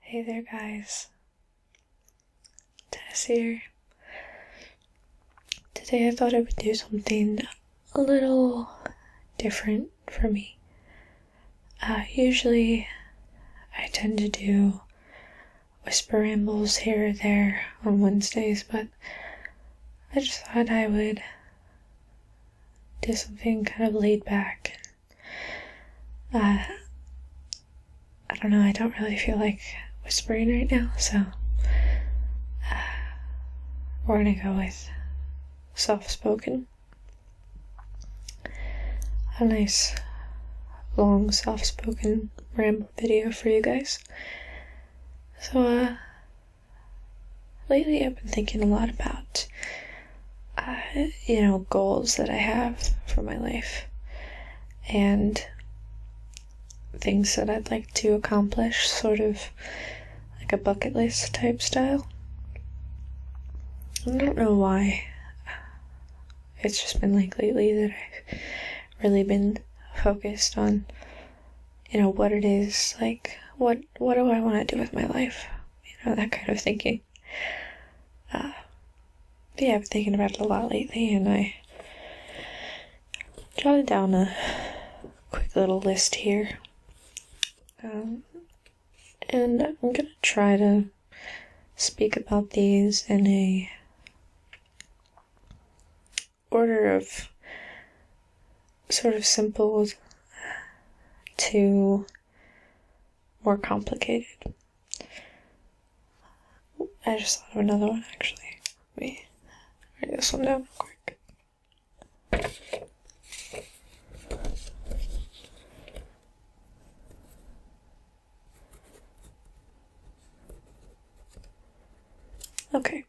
Hey there, guys. Tess here. Today I thought I would do something a little different for me. Uh, usually I tend to do whisper rambles here or there on Wednesdays, but I just thought I would do something kind of laid back. Uh, I don't know, I don't really feel like whispering right now, so uh, we're gonna go with soft spoken. A nice long soft spoken ramble video for you guys. So uh, Lately I've been thinking a lot about, uh, you know, goals that I have for my life and things that I'd like to accomplish, sort of like a bucket list type style. I don't know why. It's just been like lately that I've really been focused on, you know, what it is, like, what what do I want to do with my life? You know, that kind of thinking. Uh, yeah, I've been thinking about it a lot lately, and I jotted down a quick little list here. Um, and I'm gonna try to speak about these in a order of sort of simple to more complicated. I just thought of another one actually. Let me write this one down real quick. Okay.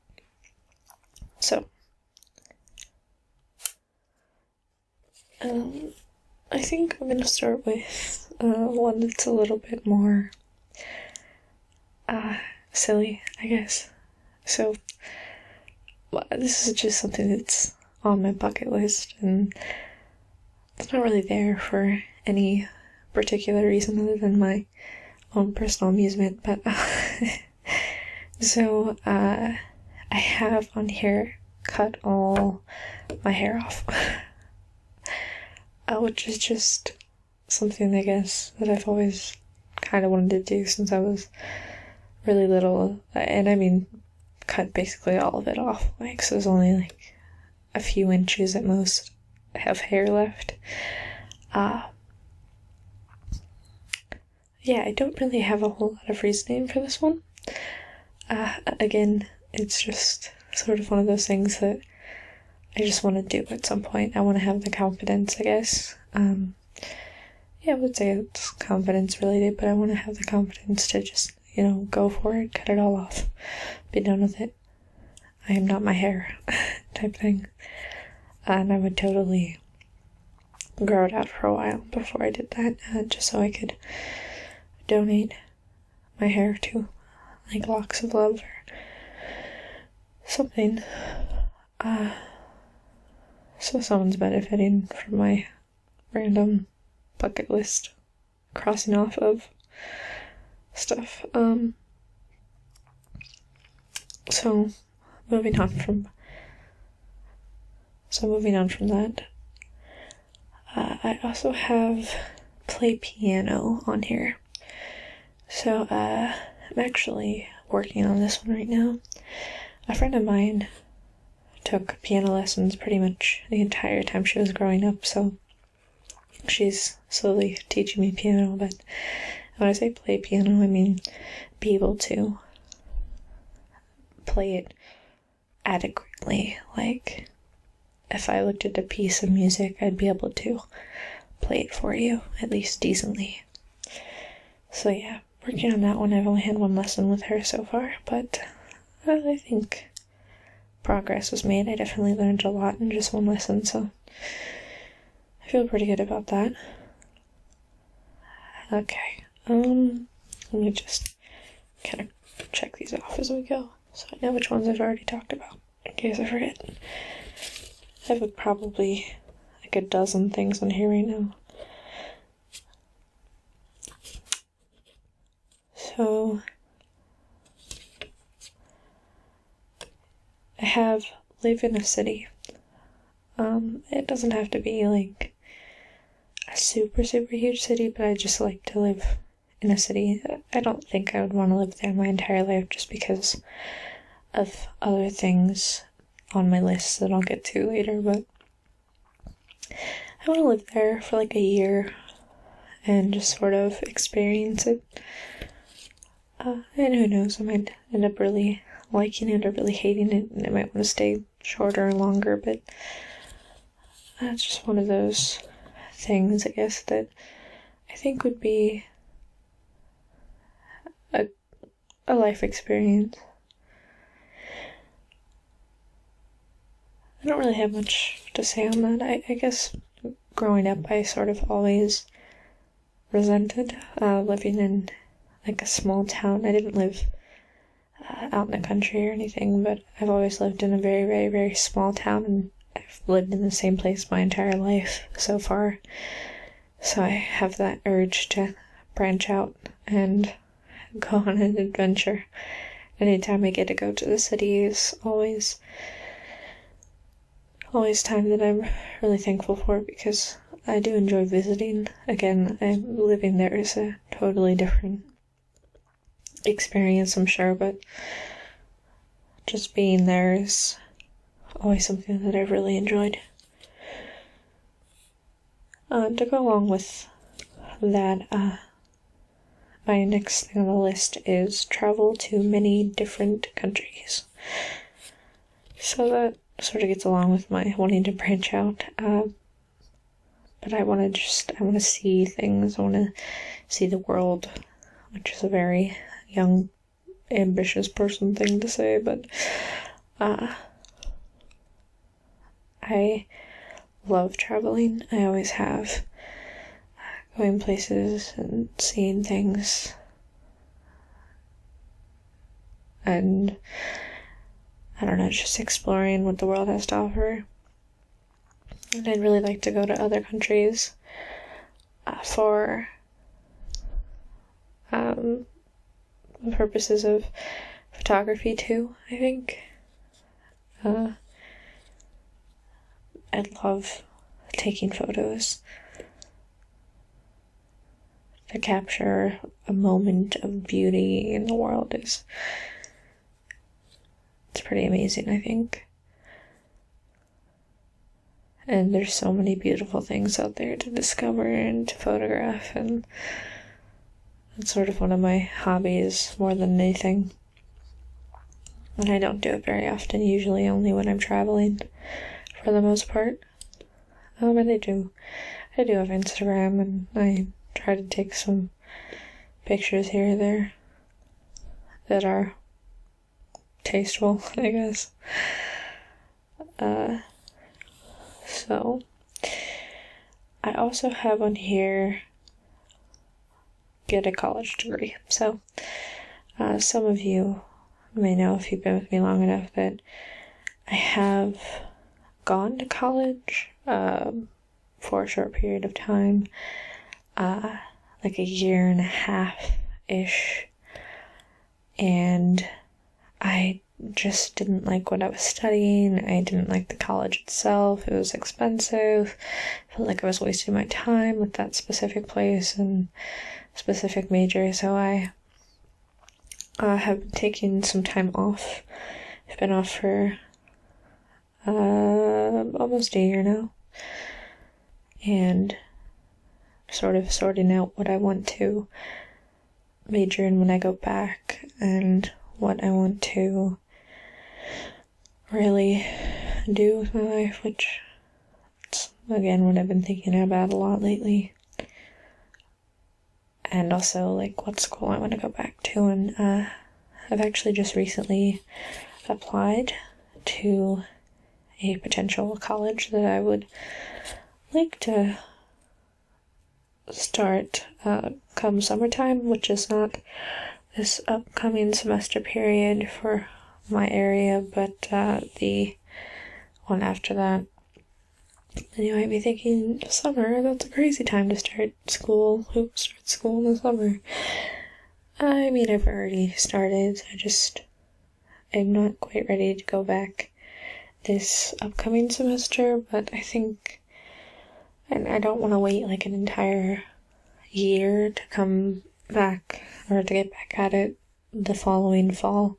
So um, I think I'm gonna start with uh, one that's a little bit more uh, silly, I guess. So, this is just something that's on my bucket list, and it's not really there for any particular reason other than my own personal amusement, but. so uh, I have on here cut all my hair off, uh, which is just something I guess that I've always kind of wanted to do since I was really little, uh, and I mean cut basically all of it off. Like so, there's only like a few inches at most have hair left. Uh, yeah, I don't really have a whole lot of reasoning for this one. Uh, again, it's just sort of one of those things that I just want to do at some point. I want to have the confidence, I guess. Um, yeah, I would say it's confidence related, but I want to have the confidence to just, you know, go for it, cut it all off, be done with it. I am not my hair type thing. And I would totally grow it out for a while before I did that, uh, just so I could donate my hair to like locks of love or something. Uh, so someone's benefiting from my random bucket list crossing off of stuff. Um, so moving on from so moving on from that uh, i also have play piano on here so uh, i'm actually working on this one right now a friend of mine took piano lessons pretty much the entire time she was growing up so she's slowly teaching me piano but when i say play piano i mean be able to play it adequately. Like, if I looked at a piece of music, I'd be able to play it for you, at least decently. So, yeah, working on that one. I've only had one lesson with her so far, but uh, I think progress was made. I definitely learned a lot in just one lesson, so I feel pretty good about that. Okay, um, let me just kind of check these off as we go, so I know which ones I've already talked about, in case I forget. I have probably like a dozen things on here right now. So, I have Live in a City. Um, it doesn't have to be like a super, super huge city, but I just like to live in a city. I don't think I would want to live there my entire life just because of other things on my list that I'll get to later, but I want to live there for like a year and just sort of experience it. Uh, and who knows, I might end up really liking it or really hating it, and I might want to stay shorter and longer, but that's just one of those things, I guess, that I think would be a, a life experience. I don't really have much to say on that. I, I guess growing up, I sort of always resented uh, living in like a small town. I didn't live uh, out in the country or anything, but I've always lived in a very, very, very small town, and I've lived in the same place my entire life so far. So I have that urge to branch out and go on an adventure. Anytime I get to go to the cities, always, always time that I'm really thankful for because I do enjoy visiting again, I, living there is a totally different experience, I'm sure, but just being there is always something that I've really enjoyed. Uh, to go along with that, uh, my next thing on the list is travel to many different countries. So that sort of gets along with my wanting to branch out. Uh, but I want to just, I want to see things. I want to see the world, which is a very young, ambitious person thing to say, but uh, I love traveling. I always have. Uh, going places and seeing things and I don't know, just exploring what the world has to offer. And I'd really like to go to other countries uh, for um, purposes of photography too. I think. Uh, I love taking photos to capture a moment of beauty in the world is it's pretty amazing, I think. And there's so many beautiful things out there to discover and to photograph and it's sort of one of my hobbies more than anything. And I don't do it very often, usually only when I'm traveling for the most part. Oh, but I do, I do have Instagram, and I try to take some pictures here and there that are tasteful, I guess. Uh, so I also have on here get a college degree. So uh, some of you may know if you've been with me long enough that I have gone to college um, for a short period of time, uh, like a year and a half ish, and I just didn't like what I was studying. I didn't like the college itself. It was expensive. felt like I was wasting my time with that specific place and specific major. So I I have been taking some time off. I've been off for uh, almost a year now. And sort of sorting out what I want to major in when I go back and what I want to really do with my life, which again what I've been thinking about a lot lately and also like what school I want to go back to. And uh, I've actually just recently applied to a potential college that I would like to start uh, come summertime, which is not this upcoming semester period for my area, but uh, the one after that. And you might be thinking, summer, that's a crazy time to start school. Who start school in the summer? I mean, I've already started. I just, I'm not quite ready to go back this upcoming semester, but I think, and I don't want to wait like an entire year to come back or to get back at it the following fall.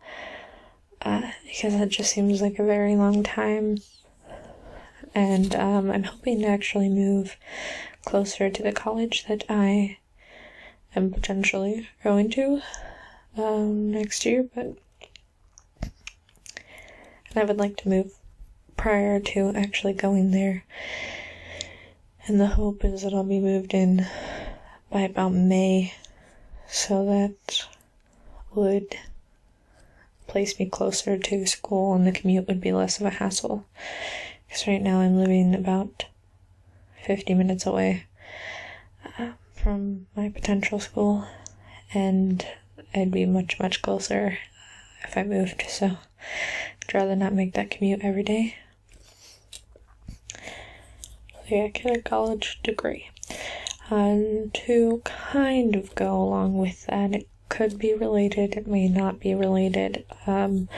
Uh, because that just seems like a very long time. And um, I'm hoping to actually move closer to the college that I am potentially going to um, next year, but and I would like to move prior to actually going there. And the hope is that I'll be moved in by about May so that would place me closer to school and the commute would be less of a hassle. Because right now I'm living about 50 minutes away uh, from my potential school, and I'd be much, much closer uh, if I moved. So I'd rather not make that commute every day. So yeah, get a college degree. And to kind of go along with that, it could be related, it may not be related, um,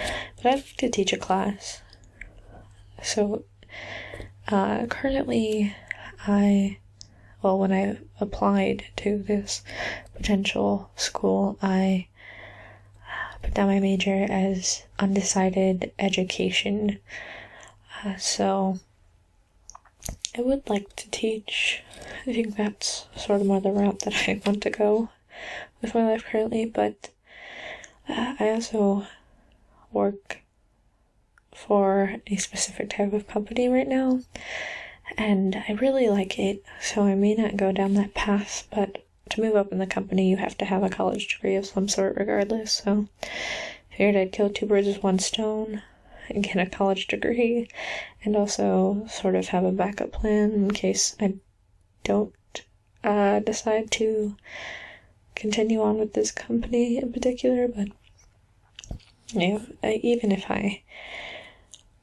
but I'd like to teach a class. So uh, currently, I, well, when I applied to this potential school, I uh, put down my major as undecided education. Uh, so I would like to teach. I think that's sort of more the route that I want to go with my life currently, but uh, I also work for a specific type of company right now, and I really like it, so I may not go down that path, but to move up in the company, you have to have a college degree of some sort, regardless, so figured I'd kill two birds with one stone and get a college degree and also sort of have a backup plan in case I don't uh, decide to continue on with this company in particular, but even if I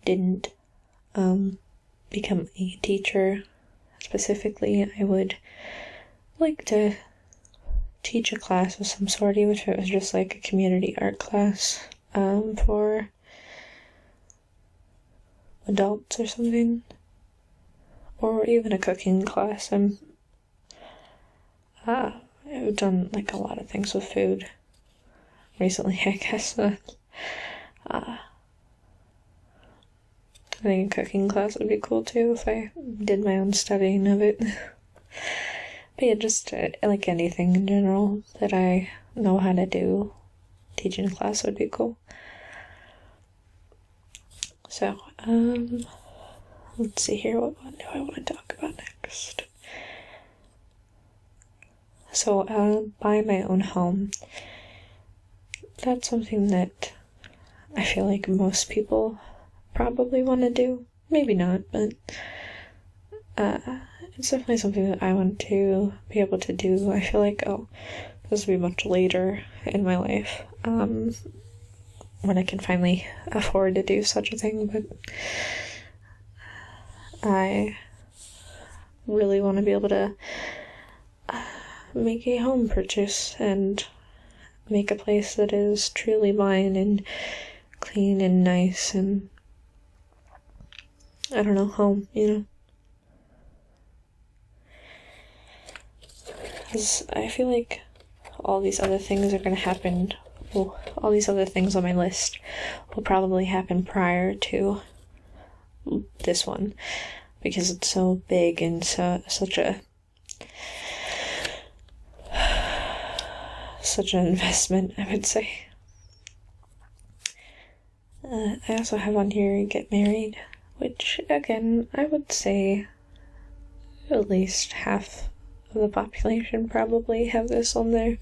didn't um, become a teacher specifically, I would like to teach a class of some sort, even if it was just like a community art class um, for adults or something, or even a cooking class. I'm ah, I've done like a lot of things with food recently, I guess. uh, I think a cooking class would be cool too if I did my own studying of it. but yeah, just uh, like anything in general that I know how to do, teaching a class would be cool. So, um, let's see here. What do I want to talk about next? So, I'll uh, buy my own home. That's something that I feel like most people probably want to do maybe not, but uh, it's definitely something that I want to be able to do. I feel like, oh, this will be much later in my life um, when I can finally afford to do such a thing, but I really want to be able to uh, make a home purchase and make a place that is truly mine and clean and nice and I don't know, home, you know. Because I feel like all these other things are going to happen. Well, all these other things on my list will probably happen prior to this one because it's so big and so, such a such an investment, I would say. Uh, I also have on here Get Married, which again, I would say at least half of the population probably have this on their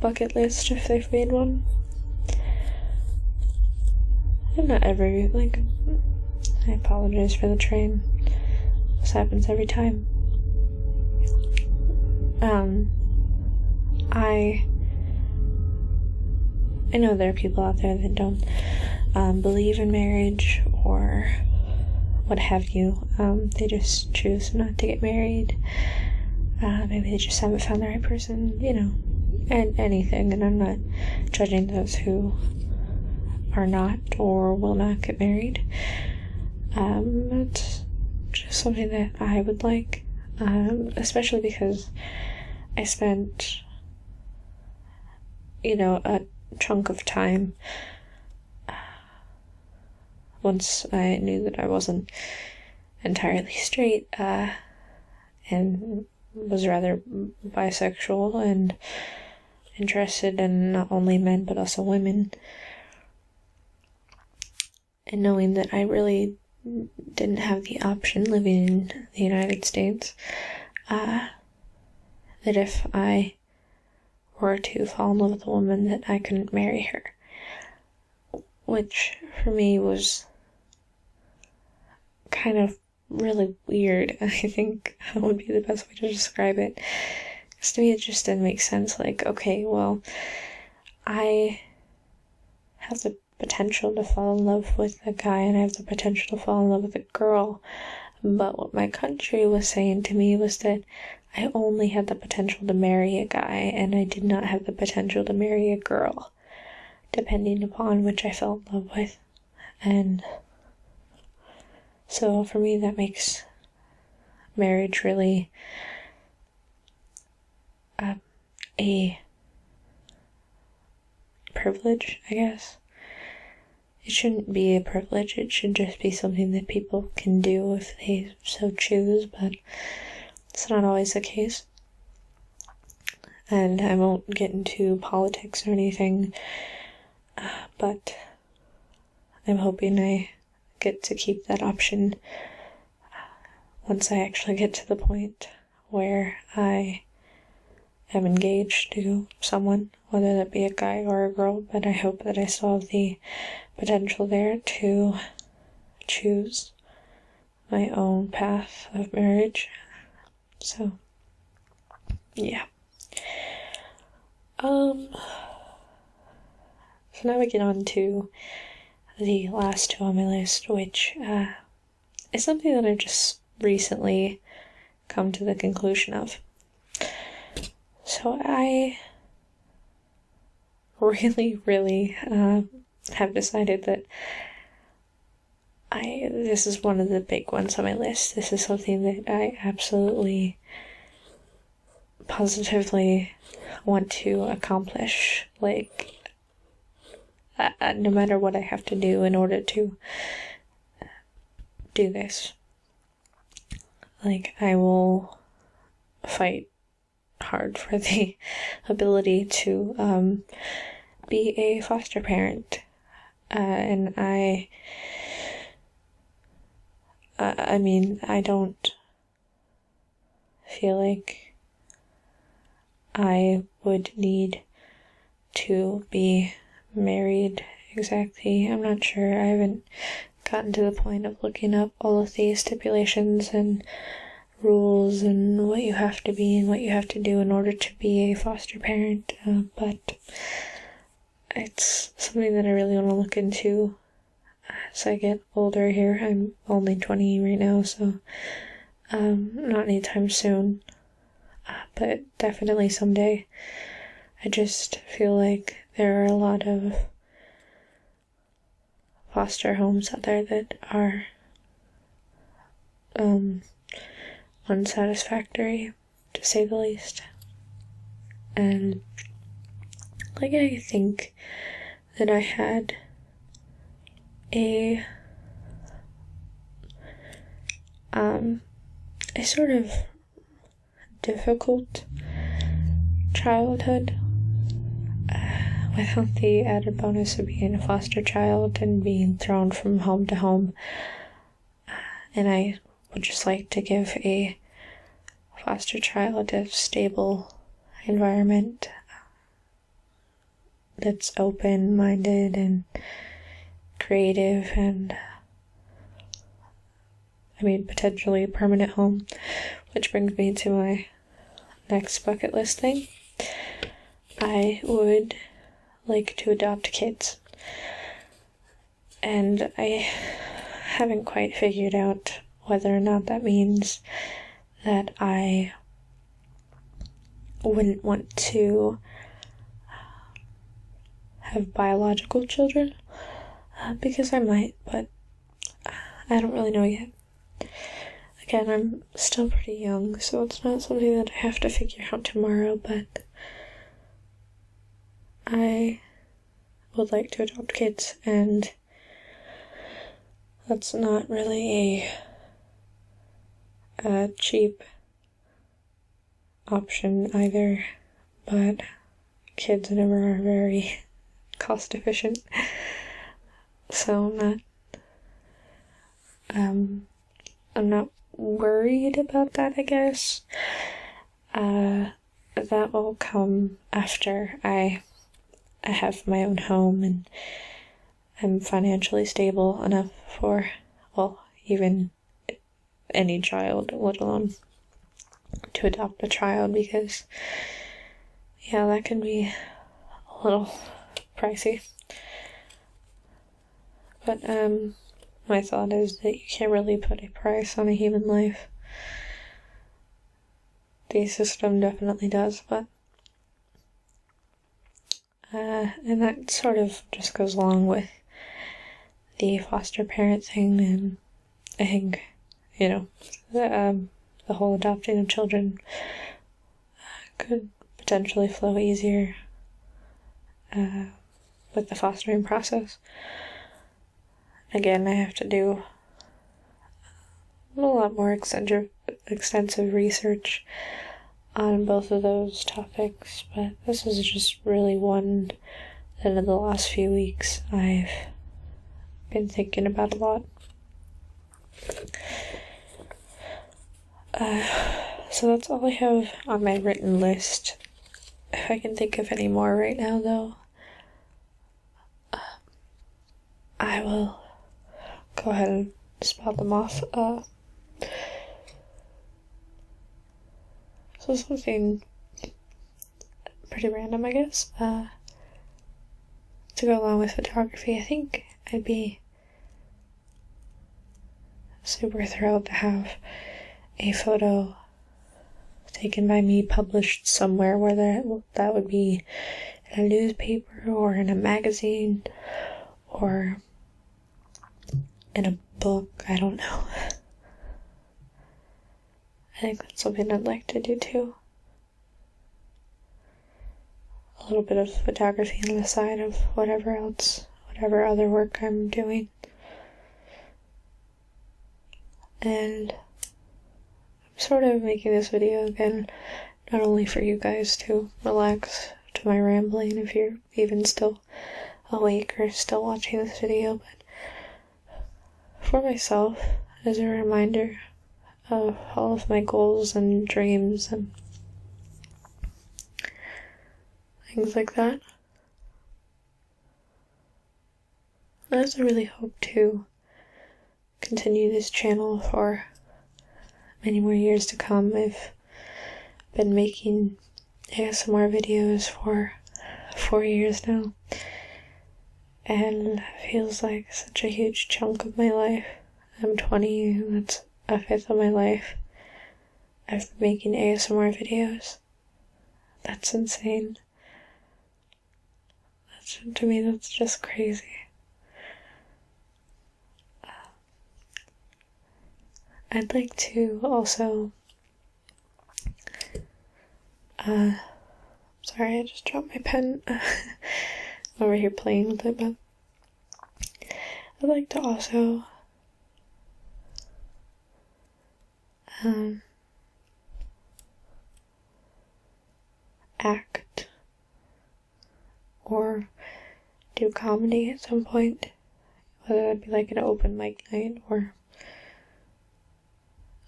bucket list if they've made one. And not every, like, I apologize for the train. This happens every time. Um, I I know there are people out there that don't um, believe in marriage or what have you. Um, they just choose not to get married. Uh, maybe they just haven't found the right person. You know, and anything. And I'm not judging those who are not or will not get married. Um, just something that I would like, um, especially because I spent, you know, a chunk of time uh, once I knew that I wasn't entirely straight, uh, and was rather bisexual and interested in not only men but also women. And knowing that I really didn't have the option living in the United States, uh, that if I were to fall in love with a woman, that I couldn't marry her. Which for me was kind of really weird. I think that would be the best way to describe it. Because to me, it just didn't make sense. Like, okay, well, I have the potential to fall in love with a guy and I have the potential to fall in love with a girl. But what my country was saying to me was that I only had the potential to marry a guy and I did not have the potential to marry a girl, depending upon which I fell in love with. And so for me, that makes marriage really um, a privilege, I guess. It shouldn't be a privilege, it should just be something that people can do if they so choose, but it's not always the case. And I won't get into politics or anything, uh, but I'm hoping I get to keep that option once I actually get to the point where I am engaged to someone, whether that be a guy or a girl, but I hope that I still have the potential there to choose my own path of marriage. So, yeah. Um, so now we get on to the last two on my list, which uh, is something that I've just recently come to the conclusion of. So I really, really um, have decided that I this is one of the big ones on my list. This is something that I absolutely positively want to accomplish. Like, uh, uh, no matter what I have to do in order to do this, like, I will fight hard for the ability to um, be a foster parent. Uh, and I, I mean, I don't feel like I would need to be married exactly. I'm not sure. I haven't gotten to the point of looking up all of the stipulations and rules and what you have to be and what you have to do in order to be a foster parent, uh, but it's something that I really want to look into as I get older here. I'm only 20 right now, so um, not anytime soon, uh, but definitely someday. I just feel like there are a lot of foster homes out there that are um, unsatisfactory to say the least. And like I think that I had a um a sort of difficult childhood uh, without the added bonus of being a foster child and being thrown from home to home and I would just like to give a foster child a stable environment uh, that's open minded and creative and I mean potentially a permanent home which brings me to my next bucket list thing I would like to adopt kids and I haven't quite figured out whether or not that means that I wouldn't want to have biological children uh, because I might, but I don't really know yet. Again, I'm still pretty young, so it's not something that I have to figure out tomorrow, but I would like to adopt kids, and that's not really a, cheap option either, but kids never are very cost efficient, so I'm not. Um, I'm not worried about that, I guess. Uh, that will come after I, I have my own home and I'm financially stable enough for, well, even any child, let alone to adopt a child because, yeah, that can be a little pricey. But, um, my thought is that you can't really put a price on a human life. The system definitely does, but. Uh, and that sort of just goes along with the foster parent thing, and I think, you know, the, um, the whole adopting of children uh, could potentially flow easier. Uh, with the fostering process. Again, I have to do a lot more extensive, extensive research on both of those topics, but this is just really one that in the last few weeks I've been thinking about a lot. Uh, so that's all I have on my written list if I can think of any more right now, though, uh, I will go ahead and spout them off. Uh, so something pretty random, I guess. Uh, to go along with photography, I think I'd be super thrilled to have a photo taken by me, published somewhere, whether that would be in a newspaper or in a magazine or in a book. I don't know. I think that's something I'd like to do too. A little bit of photography on the side of whatever else, whatever other work I'm doing. And I'm sort of making this video again, not only for you guys to relax to my rambling if you're even still awake or still watching this video, but for myself as a reminder of all of my goals and dreams and things like that. I also really hope to continue this channel for many more years to come. I've been making ASMR videos for four years now, and feels like such a huge chunk of my life. I'm 20, that's a fifth of my life. I've been making ASMR videos. That's insane. That's, to me, that's just crazy. Uh, I'd like to also. Uh, sorry, I just dropped my pen. over here playing with it, but I'd like to also um, act or do comedy at some point, whether that be like an open mic night or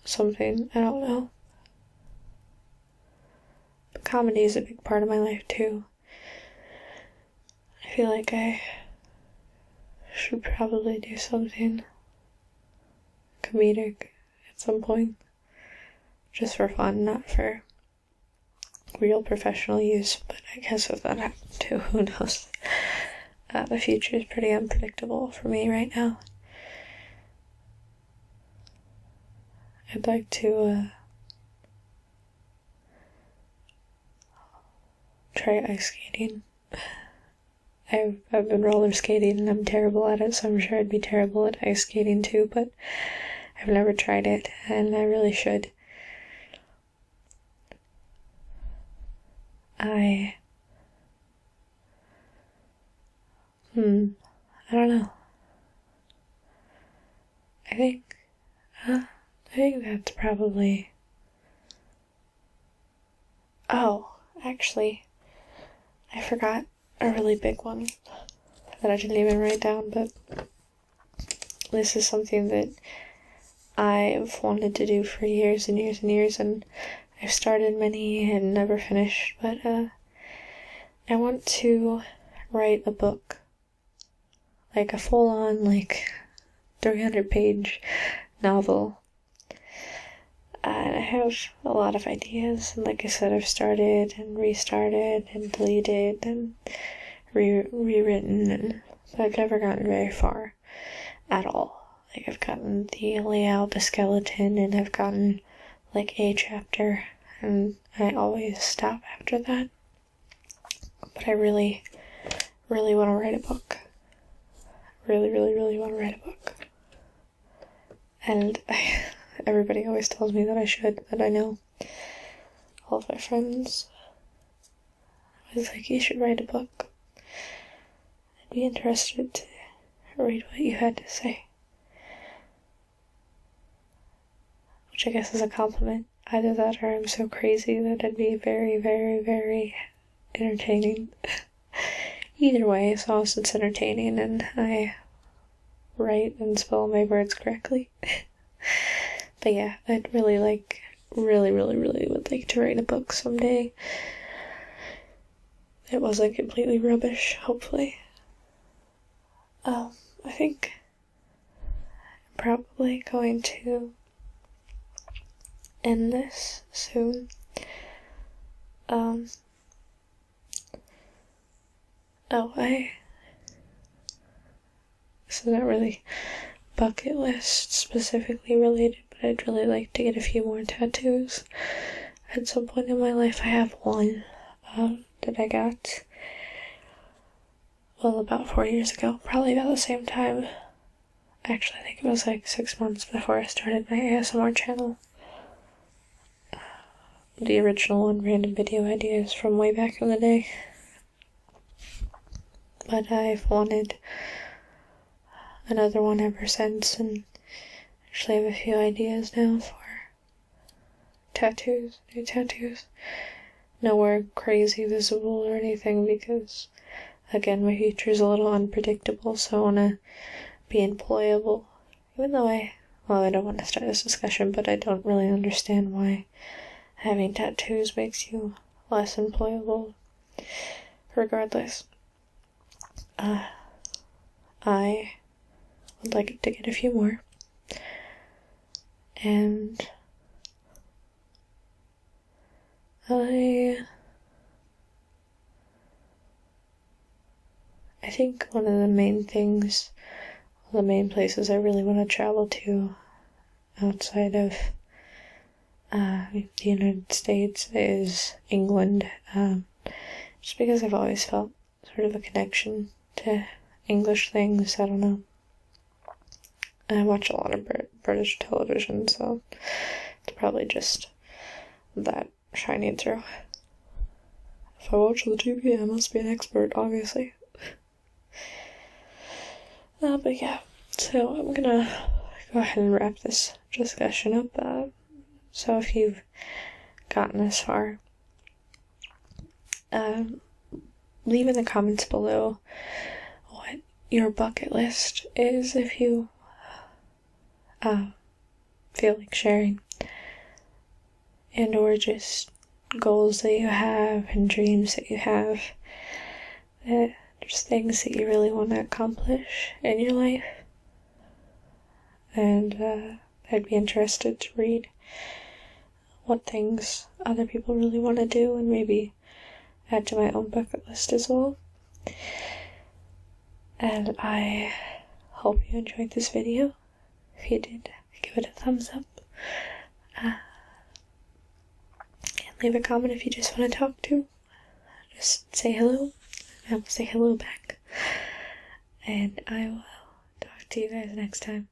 something, I don't know. But comedy is a big part of my life too. I feel like I should probably do something comedic at some point, just for fun, not for real professional use. But I guess if that happened too, who knows? Uh, the future is pretty unpredictable for me right now. I'd like to uh, try ice skating. I've, I've been roller skating and I'm terrible at it, so I'm sure I'd be terrible at ice skating too, but I've never tried it and I really should. I. Hmm. I don't know. I think. Uh, I think that's probably Oh, actually, I forgot a really big one that I didn't even write down, but this is something that I've wanted to do for years and years and years, and I've started many and never finished, but uh, I want to write a book. Like a full on, like, 300 page novel. And I have a lot of ideas, and like I said, I've started and restarted and deleted and rewritten, and, but I've never gotten very far at all. Like, I've gotten the layout, the skeleton, and I've gotten like a chapter, and I always stop after that. But I really really want to write a book. Really, really, really want to write a book. And everybody always tells me that I should, that I know. All of my friends I was like, you should write a book. I'd be interested to read what you had to say. Which I guess is a compliment. Either that or I'm so crazy that it would be very, very, very entertaining. Either way, sauce it's entertaining and I write and spell my words correctly. but yeah, I'd really like really, really, really would like to write a book someday. It wasn't completely rubbish, hopefully. Um, I think I'm probably going to Endless this soon. Um, oh, I. This is not really bucket list specifically related, but I'd really like to get a few more tattoos. At some point in my life, I have one um, that I got, well, about four years ago, probably about the same time Actually, I think it was like six months before I started my ASMR channel. Uh, the original one, random video ideas from way back in the day. But I've wanted another one ever since, and actually have a few ideas now for tattoos, new tattoos. Nowhere crazy visible or anything because again my future is a little unpredictable, so I wanna be employable. Even though I well, I don't want to start this discussion, but I don't really understand why having tattoos makes you less employable. Regardless, uh, I would like to get a few more. And I I think one of the main things, one of the main places I really want to travel to outside of uh, the United States is England. Um, just because I've always felt sort of a connection to English things, I don't know. I watch a lot of British television, so it's probably just that shining through. If I watch the TV, I must be an expert, obviously. Uh, but yeah, so I'm gonna go ahead and wrap this discussion up. Uh, so if you've gotten this far, uh, leave in the comments below what your bucket list is if you uh, feel like sharing and or just goals that you have and dreams that you have that just things that you really want to accomplish in your life and uh, i'd be interested to read what things other people really want to do and maybe add to my own bucket list as well. And I hope you enjoyed this video. If you did, give it a thumbs up. Uh, and leave a comment if you just want to talk to. Just say hello, and I will say hello back. And I will talk to you guys next time.